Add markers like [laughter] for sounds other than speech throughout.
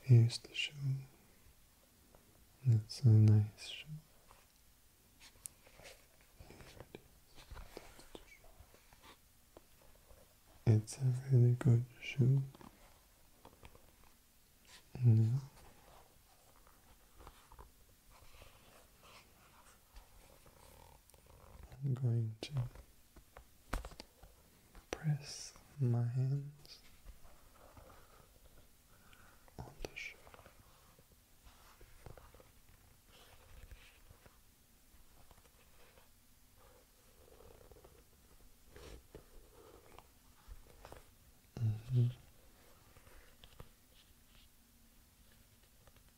here's the shoe. That's a nice shoe. it's a really good shoe. I'm going to press my hands on the shell.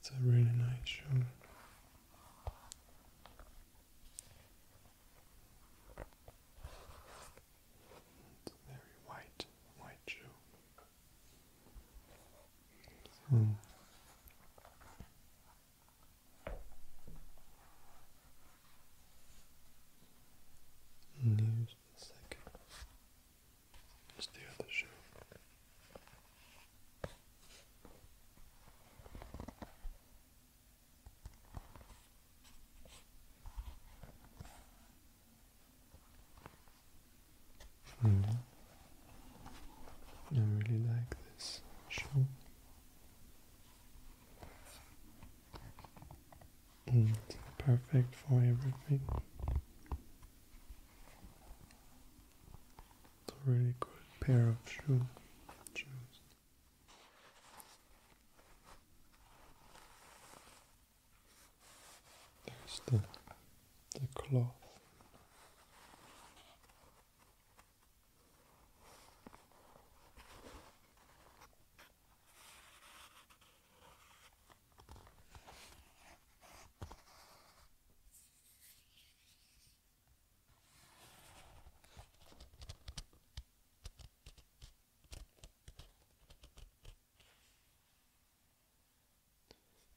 It's a really nice show. It's very white, white shoe. Hmm. And the second. Here's the other shoe. -hmm. I really like this shoe. It's perfect for everything. It's a really good pair of shoes. There's the the cloth.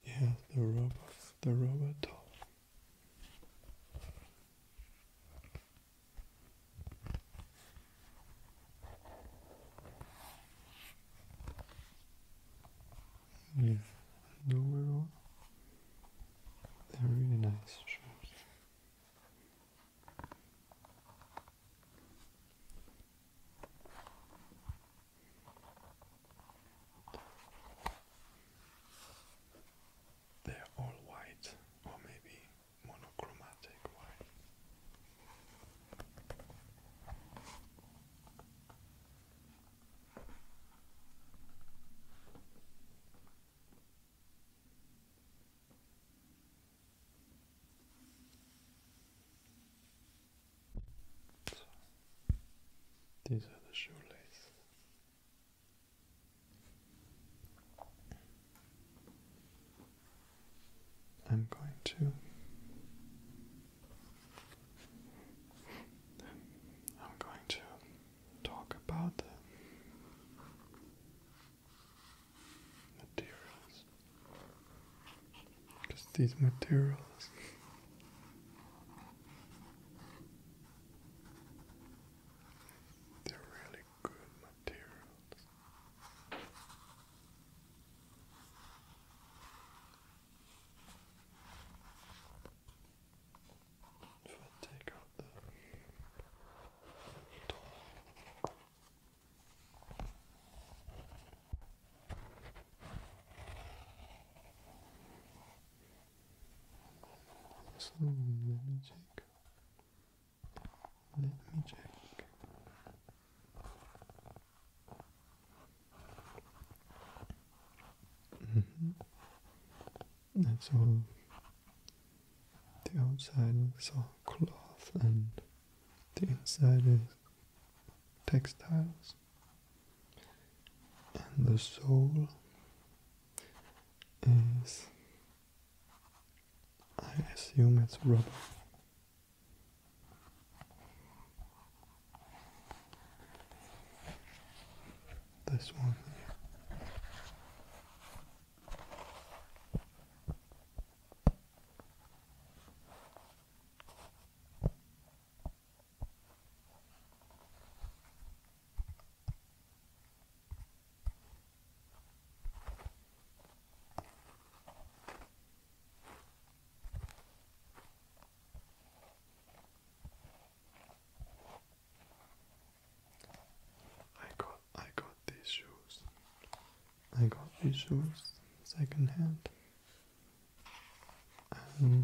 Yeah, the robot, the robot doll. Yeah, no overall, they're really nice They're all white, or maybe monochromatic wine. these are the shoelaces. I'm going to. I'm going to talk about the materials because these materials they're really good materials. If I take out the door. So let me take let me check. Mm-hmm. That's all. The outside is all cloth and the inside is textiles. And the sole is I assume it's rubber. This one I got I got these shoes. I got these shoes second hand. they're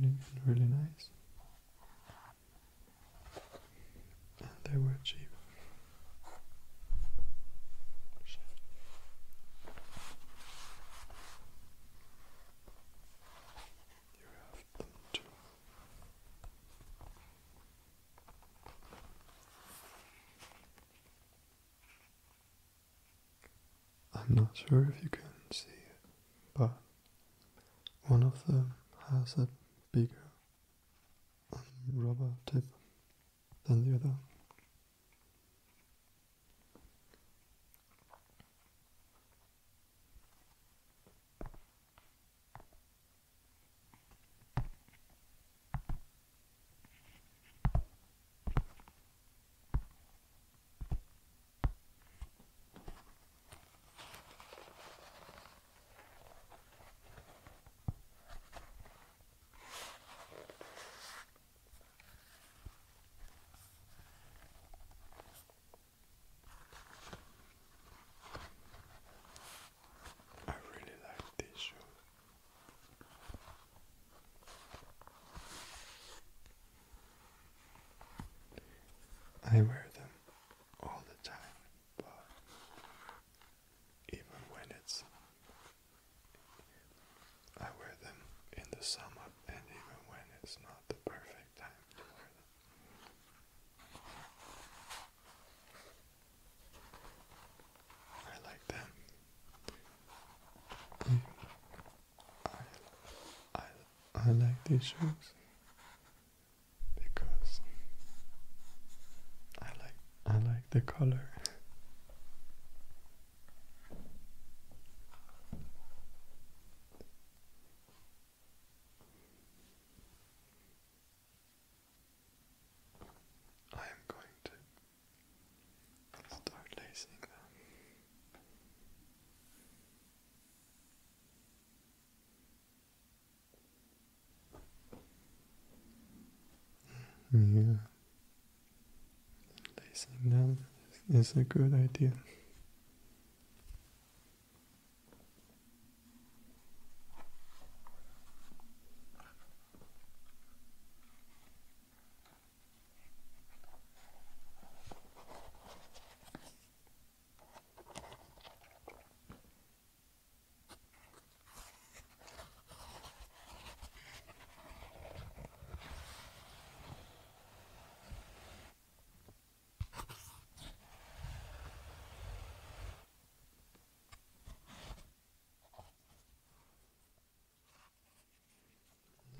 really really nice they were cheap. You have them I'm not sure if you can see it, but one of them has a bigger rubber tip than the other. I really like these shoes. I wear them all the time but even when it's I wear them in the summer and even when it's not the perfect time to wear them. I like them. I, I, I like these shoes because I like I like the color. I am going to start lacing them. Yeah. Lacing them is a good idea.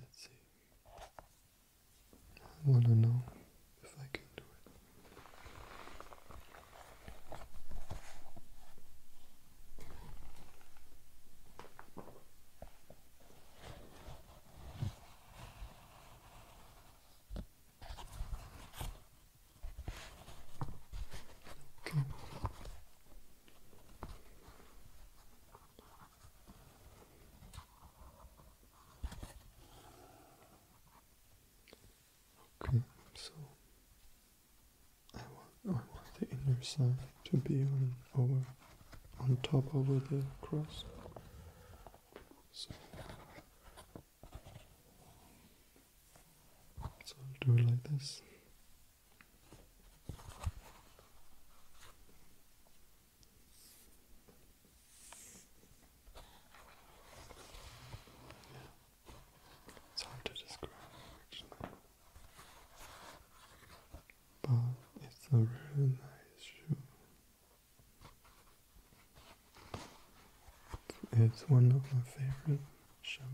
Let's see. I want to know if I can do it. Okay. Okay, so I want I want the inner side to be on over on top over the cross. So, so do it like this. It's hard to describe, But it's a really nice shoe. It's one of my favorite shows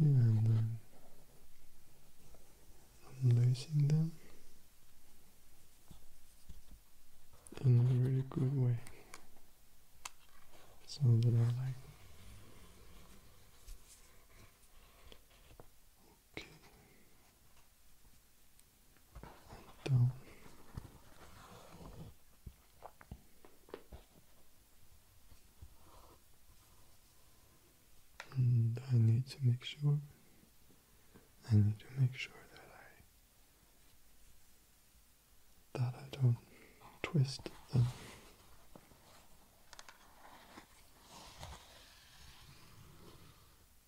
and then unlacing them in a really good way so that I like okay I need to make sure, I need to make sure that I, that I don't twist them.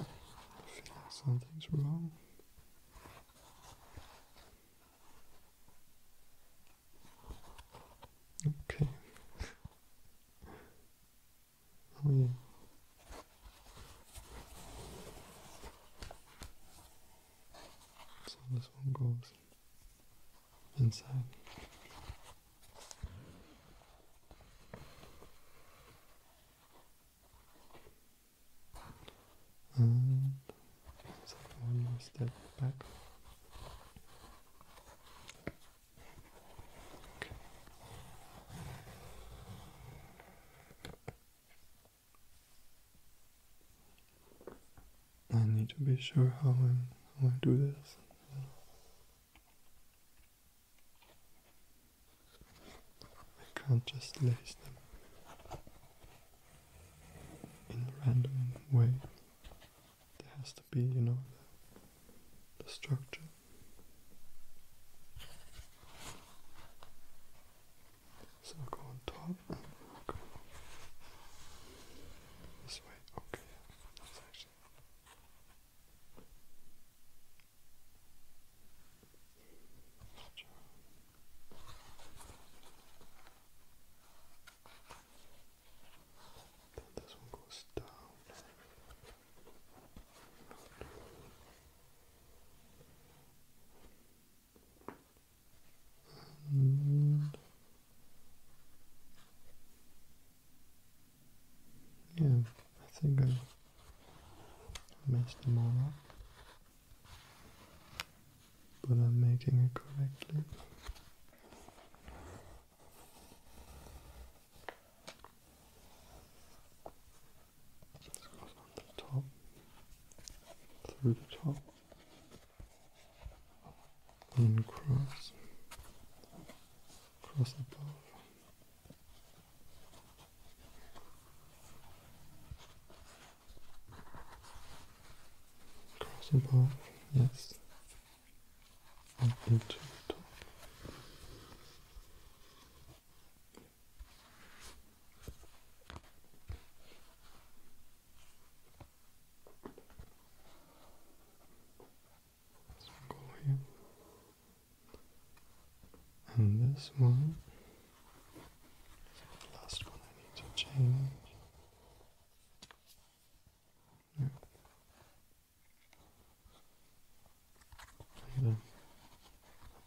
I feel something's wrong. Okay. oh yeah. So this one goes inside and take one more step back. I need to be sure how, i how I do this. I can't just lace them in a random way. There has to be, you know, the, structure. So go on top this way. Okay, then this one goes down. And yeah, I think I messed them all up. But I'm making it correctly. goes on the top, through the top, and cross, cross above. Cross yes. Up into the top circle here, and this one, last one I need to change. Yeah. Right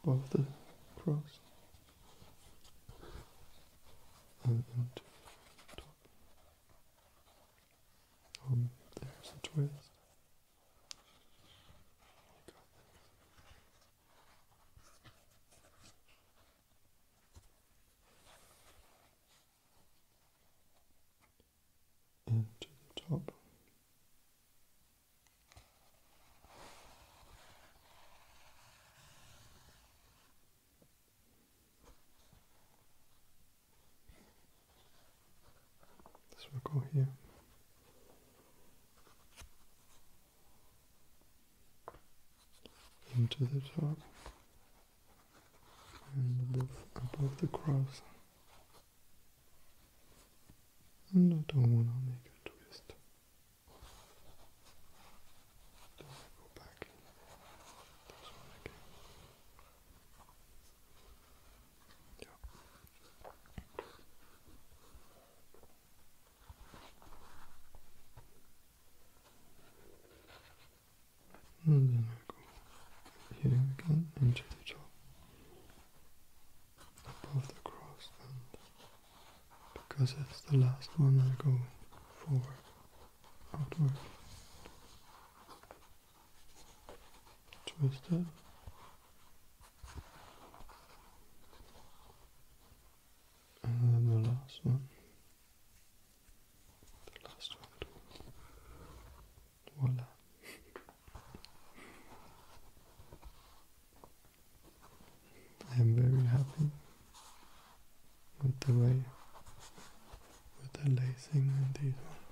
Above the cross and into top. Um, there's a twist and to the top. This will go here. Into the top and above, the cross. And I don't want to make a twist. go back. And then I go here again into the top above the cross and because it's the last one I go forward, outward, twist and then the last one. The last one. Voila. I am very happy with the way with the lacing and these ones.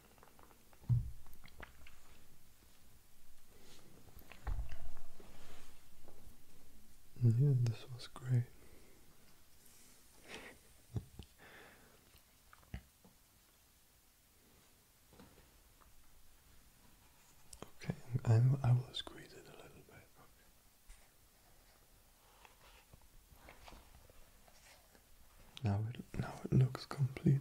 Yeah, this was great. okay, i I will squeeze it a little bit. Now it now it looks complete.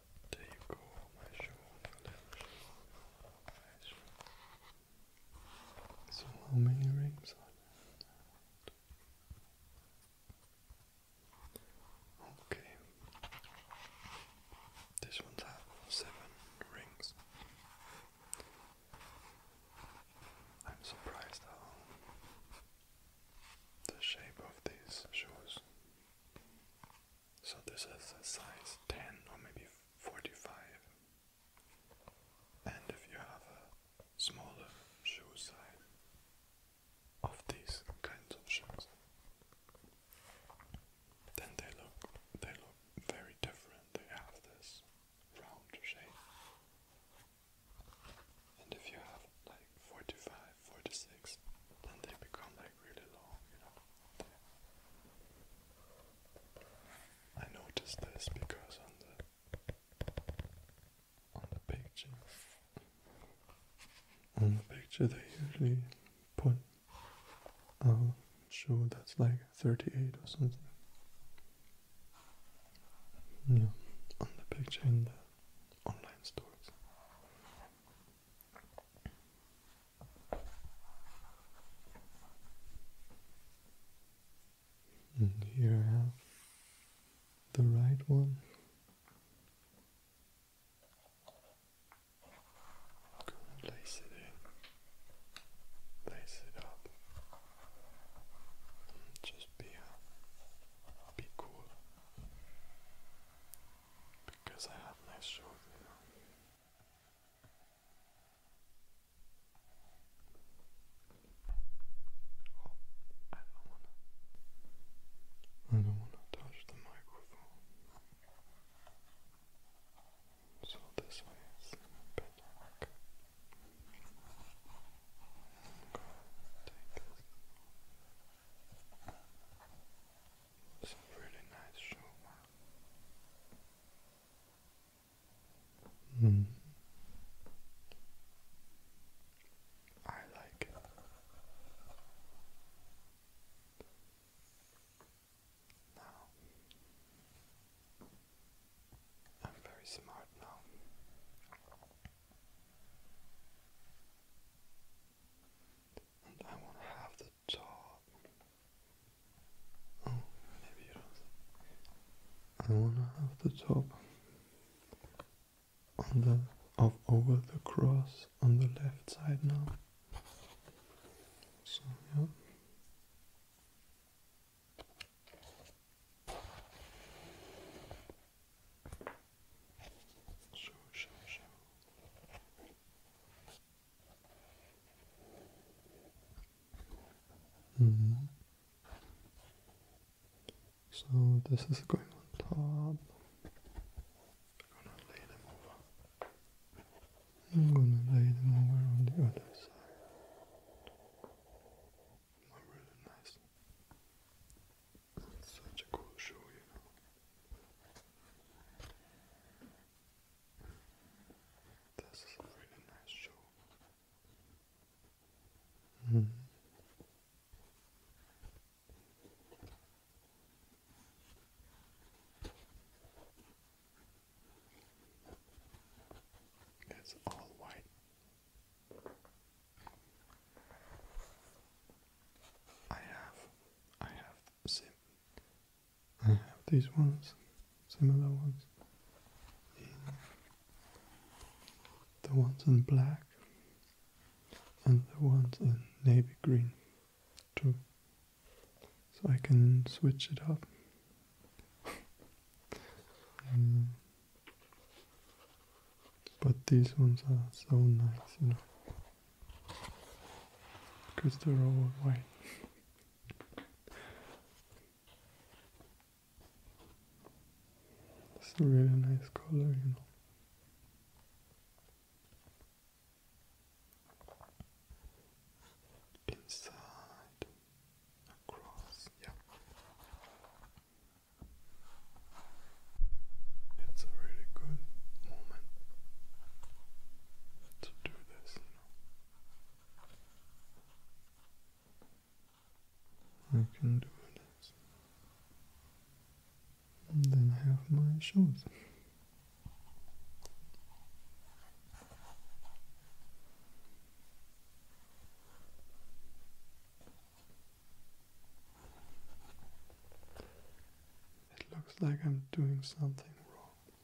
Take off my my shoulder. So how many rings are Okay. This one's have seven rings. I'm surprised how the shape of these shoes so this is a size 10 or maybe 45. And if you have a smaller shoe size of these kinds of shoes, then they look they look very different. They have this round shape. And if you have like 45, then they become like really long, you know. I noticed this because on the on the picture on the picture they usually put uh show that's like thirty eight or something. Yeah, on the picture in the online stores. And here I have the right one. Place it in, place it up, just be, uh, be cool because I have my sword, Oh, I don't wanna. I don't wanna touch the microphone. So this way is a bit dark. It's a really nice show. Mm. I like it. Now I'm very smart now. And I want to have the top. Oh, maybe you don't. I wanna have the top on the of over the cross on the left side now. So yeah. Show, show, show. Mm-hmm. So this is going on top. I'm gonna lay them over. I'm gonna lay them over on the other side. really nice. such a cool show, you know. This is a really nice show. Hmm. It's all white. I have, I have seen I have these ones, similar ones. The ones in black and the ones in navy green too. So I can switch it up. [laughs] Mm. But these ones are so nice, you know. Because they're all white. it's a really nice color, you know. Inside, across, yeah. It's a really good moment to do I can do this. then I have my shoes. It looks like I'm doing something wrong.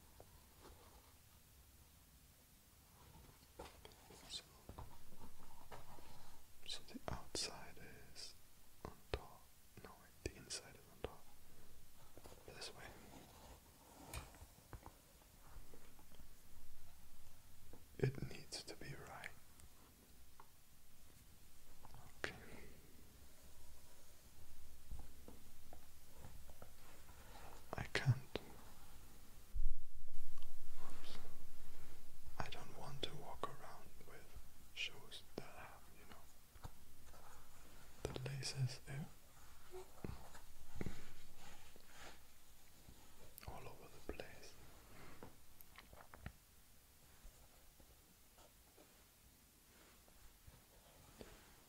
So, the outside is on top. No, wait, the inside is on top. This way. It needs to be right. Okay. I can't. I don't want to walk around with shoes that have, you know, the laces there all over the place.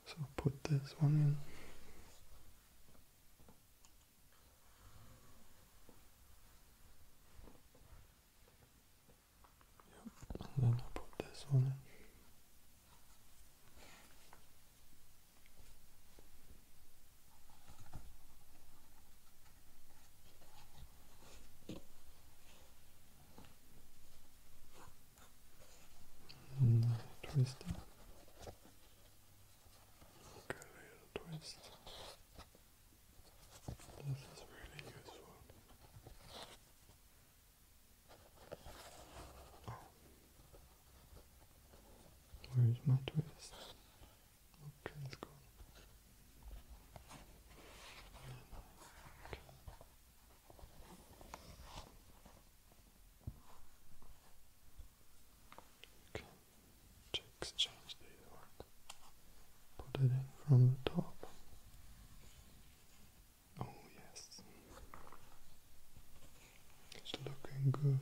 So put this one in. and then I put this one in twist Okay, little twist. This is really useful. Where is my twist? Okay, it's gone. You can Put it in from the top. Oh yes. It's looking good.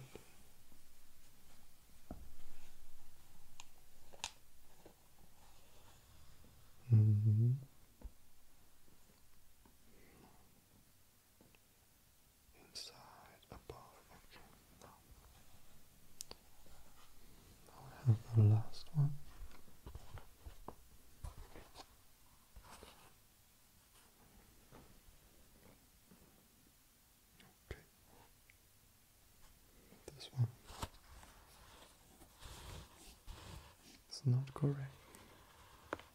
Mm -hmm inside, above, okay, I have the last one. Okay, this one it's not correct.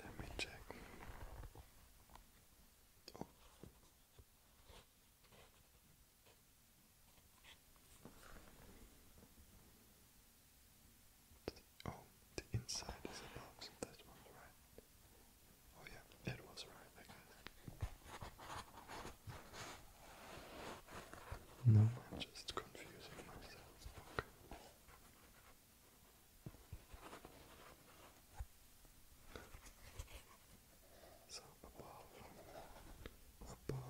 Let me check. Oh. oh the, inside is above, so that one's right. Oh yeah, it was right, No, I'm just confusing myself. So above, above,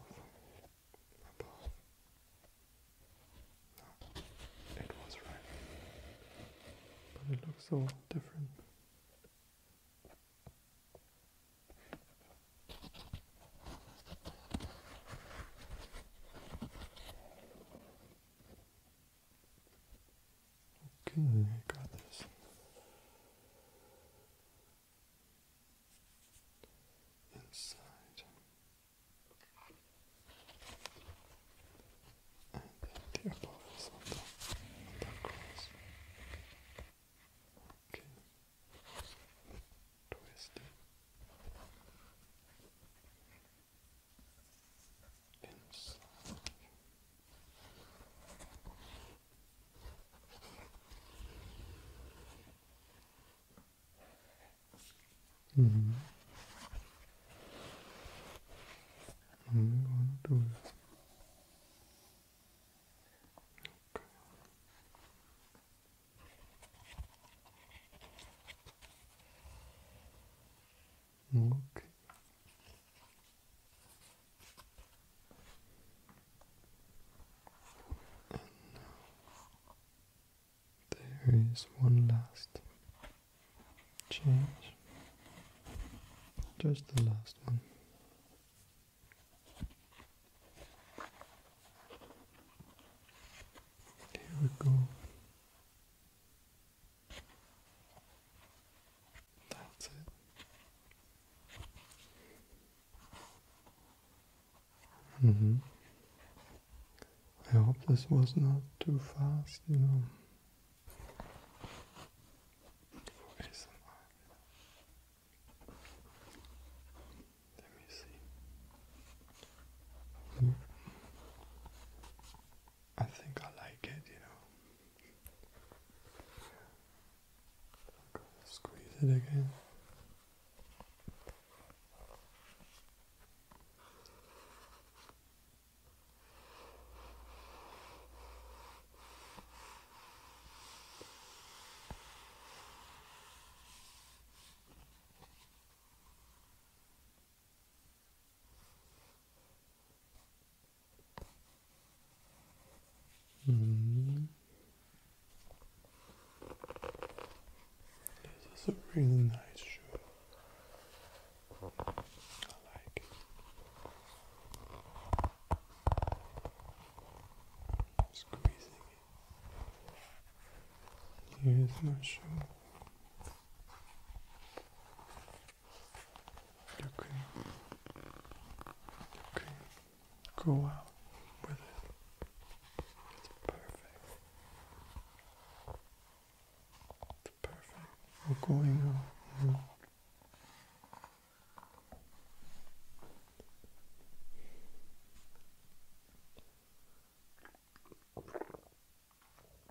above. No, it was right, but it looks so different. Okay, I got this. Inside and then the above is on the, on Okay, twist it and slide. Mm -hmm. Okay. there is one last change, just the last one. Here we go. That's it. -hmm. I hope this was not too fast, you know. Let me see. I think I like it, you know. i to squeeze it again. This is a really nice shoe. I like it. Squeezing it. Here's my shoe. You can, you can go out with it. It's perfect. It's perfect. We're going out. Now.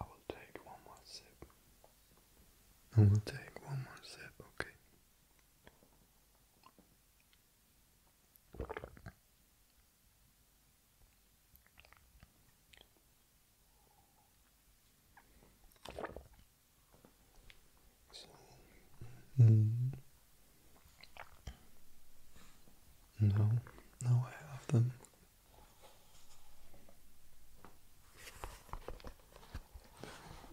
I will take one more sip. I will take one more sip, okay. So, hmm. No, no, I have them.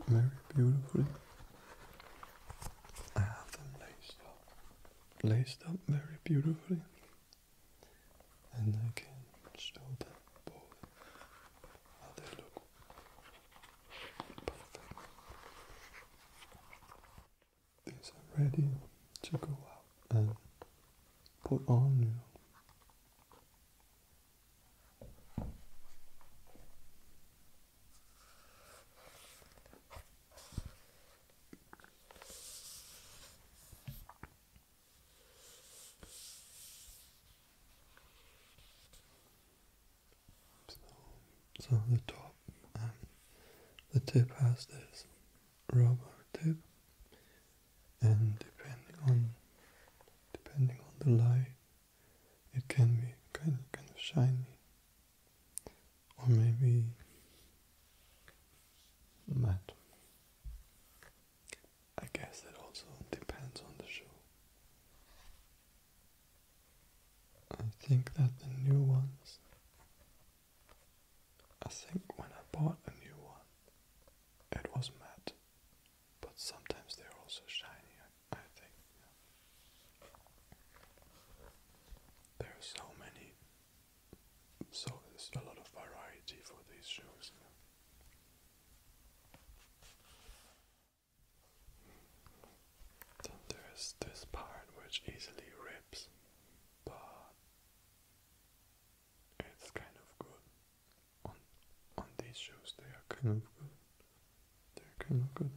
Very beautifully. I have them laced up, laced up very beautifully, and I can show them both how they look these are ready to go out and put on So, so the top and the tip has this rubber tip and depending on depending on the light it can be kind of, kind of shiny or maybe matte. I guess that also depends on the show. I think that the new ones I think when I bought a new one, it was matte, but sometimes they're also shiny, I, think. There are so many, so there's a lot of variety for these shoes. there's this part which easily rips, but it's kind of good. On on these shows they are kind of good. They're kind of good.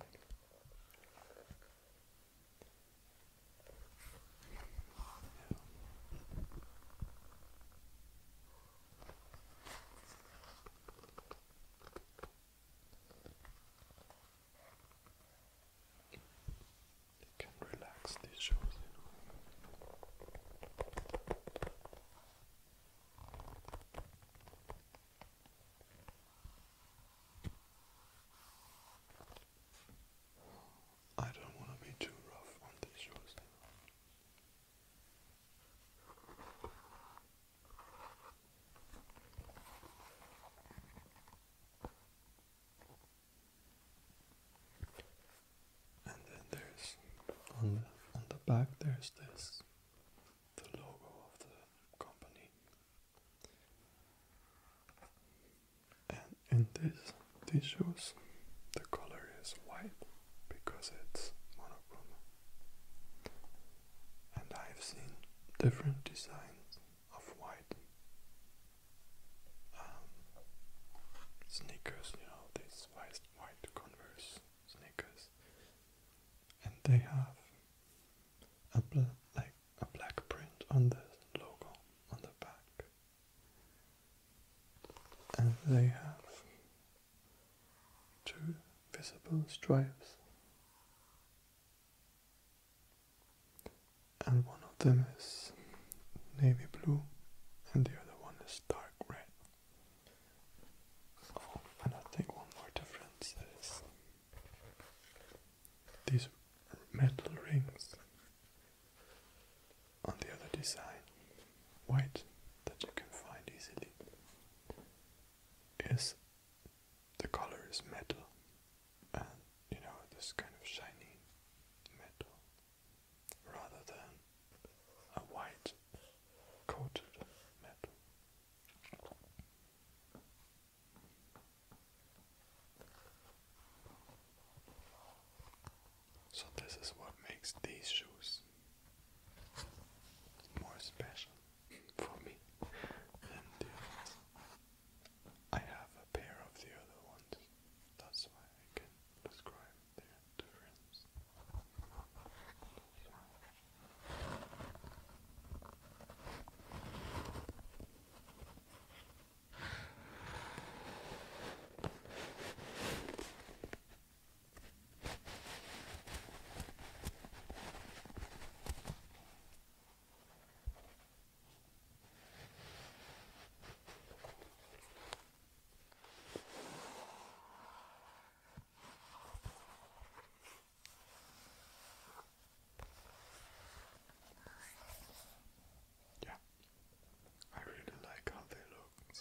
It can relax these shows in a I don't want to be too rough on these shows. And then there's on the on the back there's this the logo of the company. And in this these shoes the color is white because it's monochrome. And I've seen different designs off white um, sneakers, you know, these white, white Converse sneakers, and they have a bl like a black print on the logo on the back, and they have two visible stripes and one of them is navy blue and the other one is dark red. and I think one more difference is these metal rings on the other design, white that you can find easily, is the color is metal and you know this kind of shiny metal rather than a white coated metal. So this is what makes these shoes more special for me I have a pair of the other ones. That's why I can describe their difference. Yeah, I really like how they look.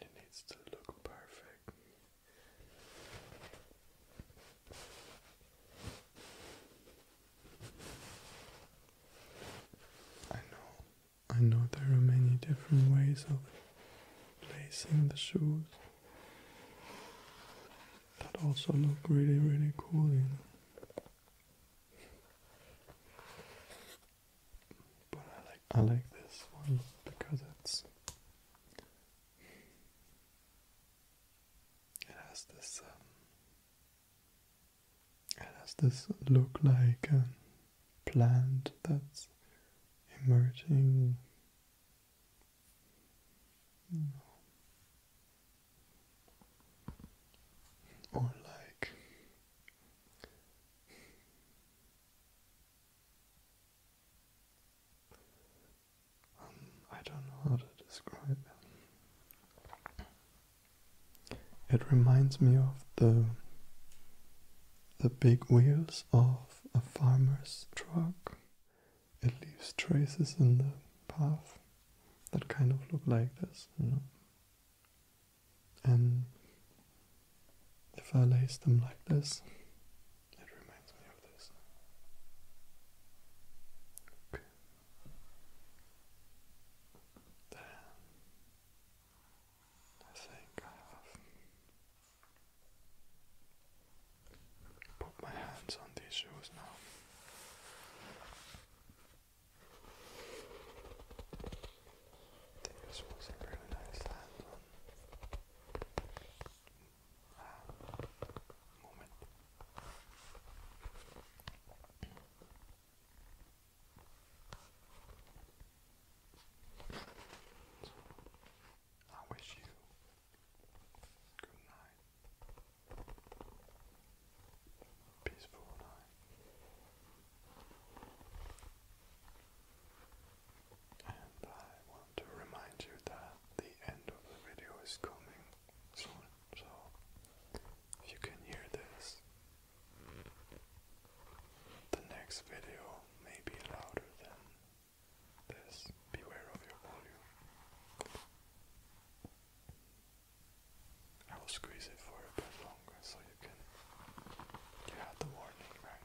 It needs to look perfect. I know, I know there are many different ways of placing the shoes that also look really, really cool, But I like I like this one because it's it has this. Um, it has this look like a um, plant that's emerging. Or like um, I don't know how to describe it. It reminds me of the the big wheels of a farmer's truck. It leaves traces in the path that kind of look like this, you know. And if I lace them like this, it reminds me of this. Okay. Then I think I have put my hands on these shoes now. This was a really nice hand on moment. I wish you good night, peaceful night. I want to remind you that the end of the video is coming soon, so if you can hear this, the next video may be louder than this. Beware of your volume. I will squeeze it for a bit longer so you can. You had the warning, right?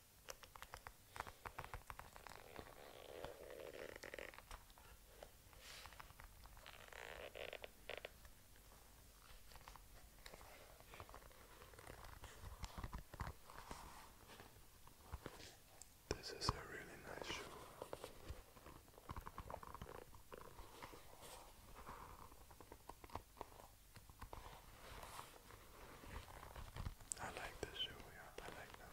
This is a really nice shoe. I like the shoe, I like them.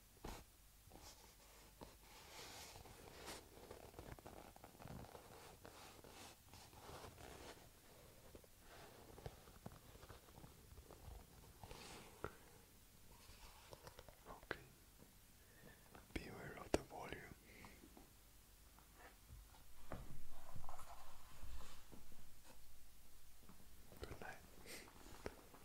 Okay. Beware of the volume. Good night.